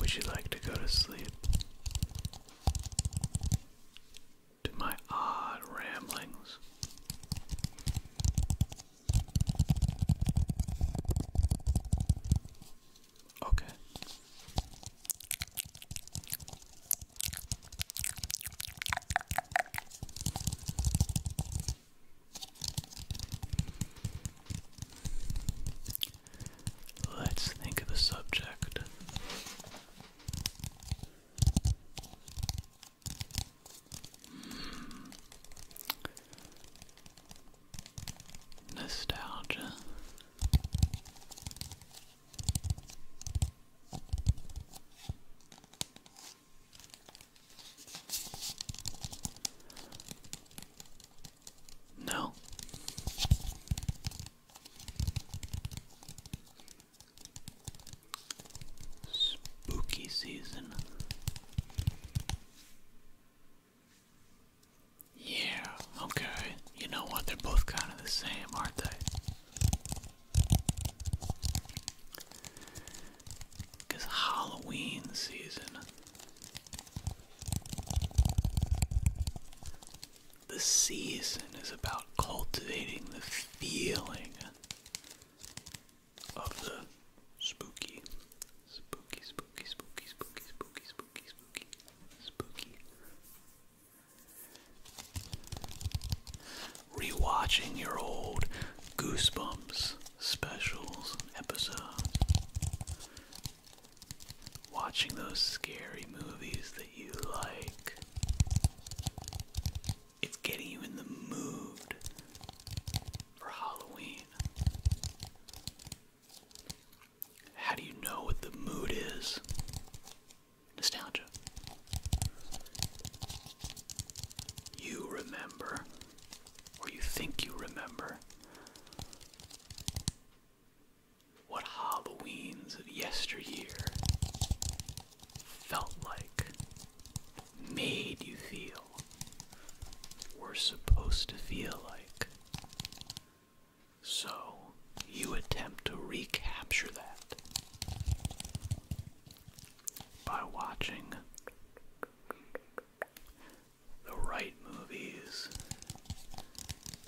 Would you like to go to sleep? To my odd ramblings. Okay. Let's think of a subject. Hmm. Nostalgia. No. Spooky season. Yeah, okay. You know what? They're both kind of the same, aren't they? Because Halloween season. The season is about cultivating the feeling of the spooky, spooky, spooky, spooky, spooky, spooky, spooky, spooky, spooky, Rewatching your old Goosebumps specials and episodes. Watching those scary movies that you like. It's getting you in the mood for Halloween. How do you know what the mood is? Nostalgia. You remember, or you think you remember, what Halloweens of yesteryear felt like, made you feel, were supposed to feel like. So you attempt to recapture that by watching the right movies,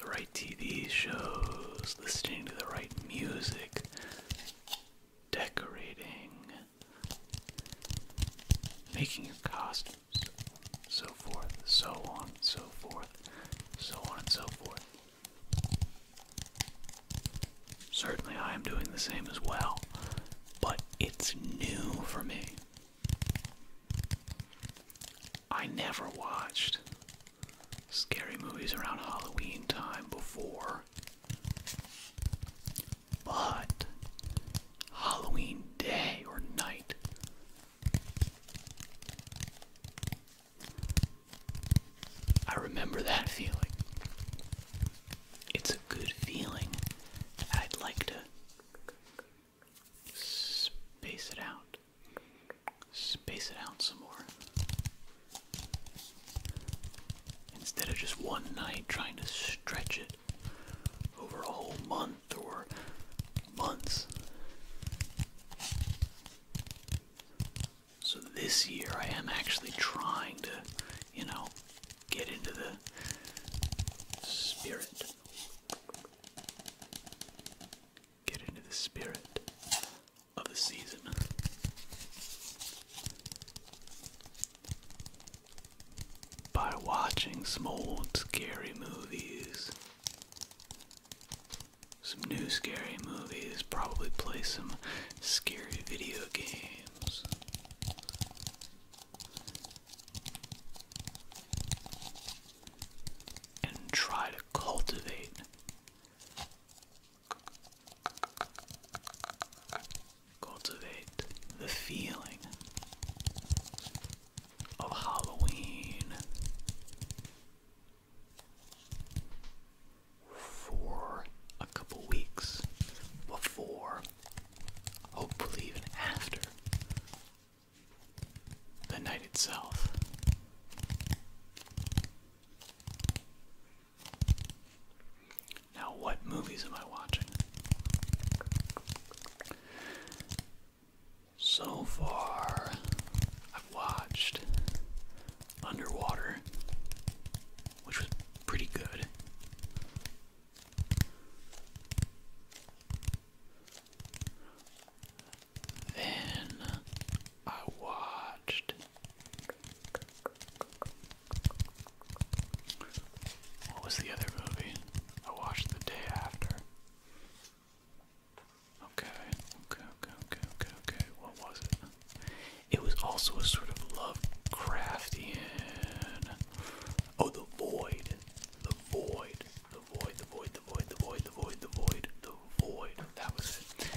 the right TV shows, listening to the right music, decorating, making your costume so forth, so on, so forth, so on and so forth. Certainly, I am doing the same as well, but it's new for me. I never watched scary movies around Halloween time before, but Halloween day or night I remember that feeling. It's a good feeling. I'd like to space it out. Space it out some more. Instead of just one night trying to stretch it over a whole month. Thor months. So this year I am actually trying to, you know, get into the spirit. Get into the spirit of the season by watching some old scary movies. Some new scary movies, probably play some scary video games. And try to cultivate cultivate the feeling of Halloween for a couple weeks before, hopefully, even after the night itself. Now, what movies am I watching? So far, I've watched Underwater, which was pretty good. Then I watched what was the other movie I watched the day after? Okay, okay, okay, okay, okay, What was it? It was also a sort of Lovecraftian. Oh, The Void. The Void. The Void, The Void, The Void, The Void, The Void, The Void, The Void. That was it.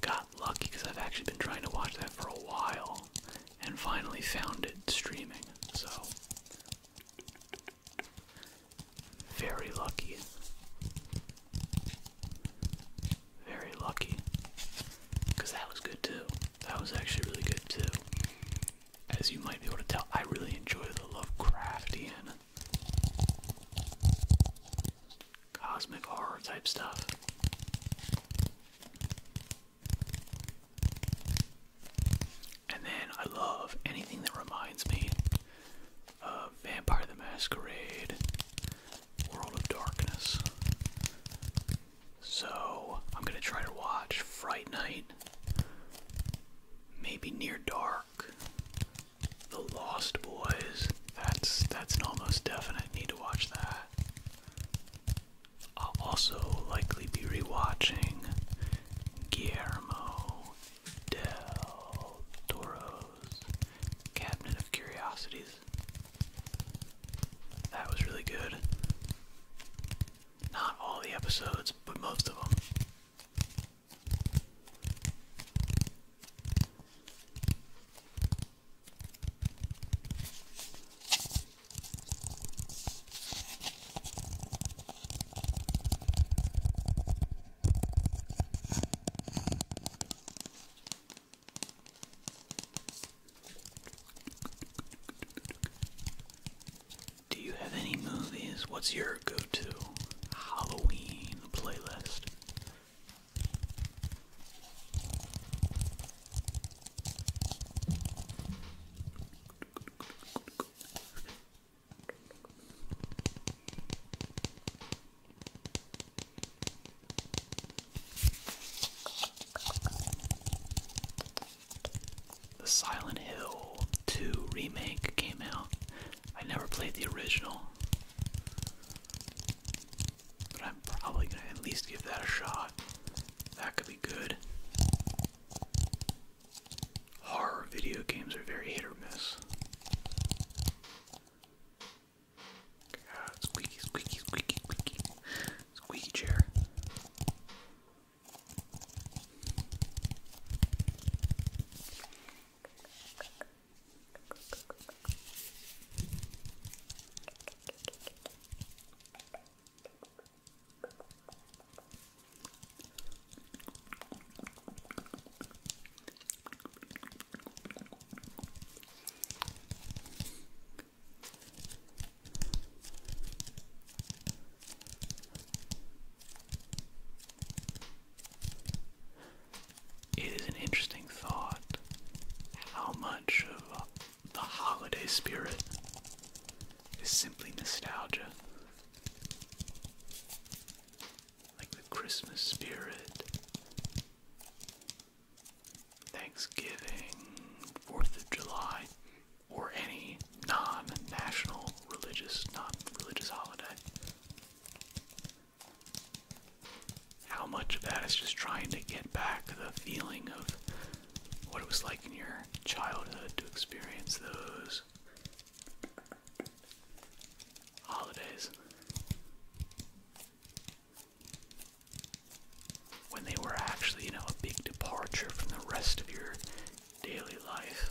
Got lucky because I've actually been trying to watch that for a while and finally found it streaming. So, very lucky. Very lucky. Because that was good too. That was actually really good too. As you might be able to tell, I really enjoy the Lovecraftian cosmic horror type stuff. And then I love anything that reminds me of Vampire the Masquerade, World of Darkness. So I'm going to try to watch Fright Night, maybe Near Dark, The Lost Boys. That's that's an almost definite need to watch that. I'll also likely be rewatching Guillermo del Toro's Cabinet of Curiosities. That was really good. Not all the episodes, but most of them. Do you have any movies? What's your go to Halloween playlist? The Silent Hill 2 remake came out. I never played the original. But I'm probably gonna at least give that a shot. That could be good. Horror video games are very hit or miss. squeaky, squeaky, squeaky, squeaky. Squeaky chair. It is an interesting thought how much of the holiday spirit is simply nostalgia. Like the Christmas spirit, Thanksgiving, 4th of July, or any non national religious, non religious holiday how much of that is just trying to get back the feeling of what it was like in your childhood to experience those holidays when they were actually, you know, a big departure from the rest of your daily life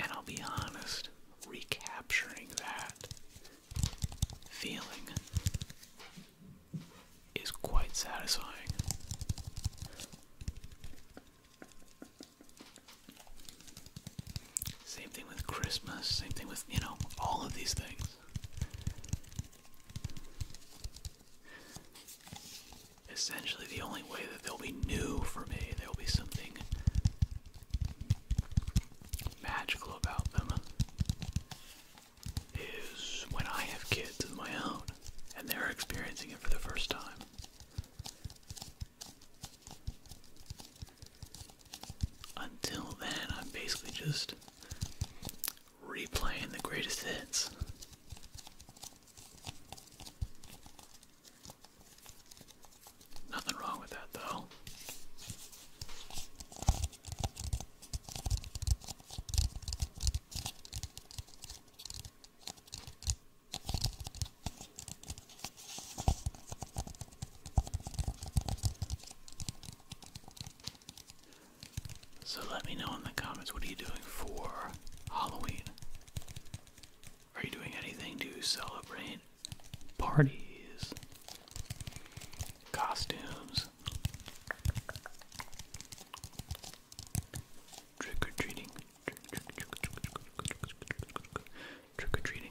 And I'll be honest, recapturing that feeling is quite satisfying. Same thing with Christmas, same thing with, you know, all of these things essentially the only way that they'll be new for me, there'll be something magical about them, is when I have kids of my own and they're experiencing it for the first time. Until then, I'm basically just replaying the greatest hits. Nothing wrong with that, though. So let me know in the comments what are you doing for Halloween? Are you doing anything to celebrate parties? Costumes? Trick or treating? Trick or treating?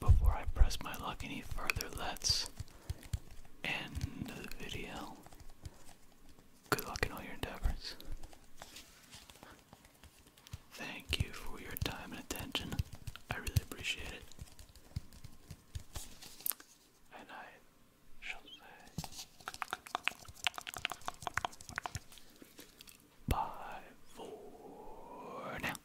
before I press my luck any further, let's end the video. Good luck in all your endeavors. Thank you for your time and attention. I really appreciate it. And I shall say bye for now.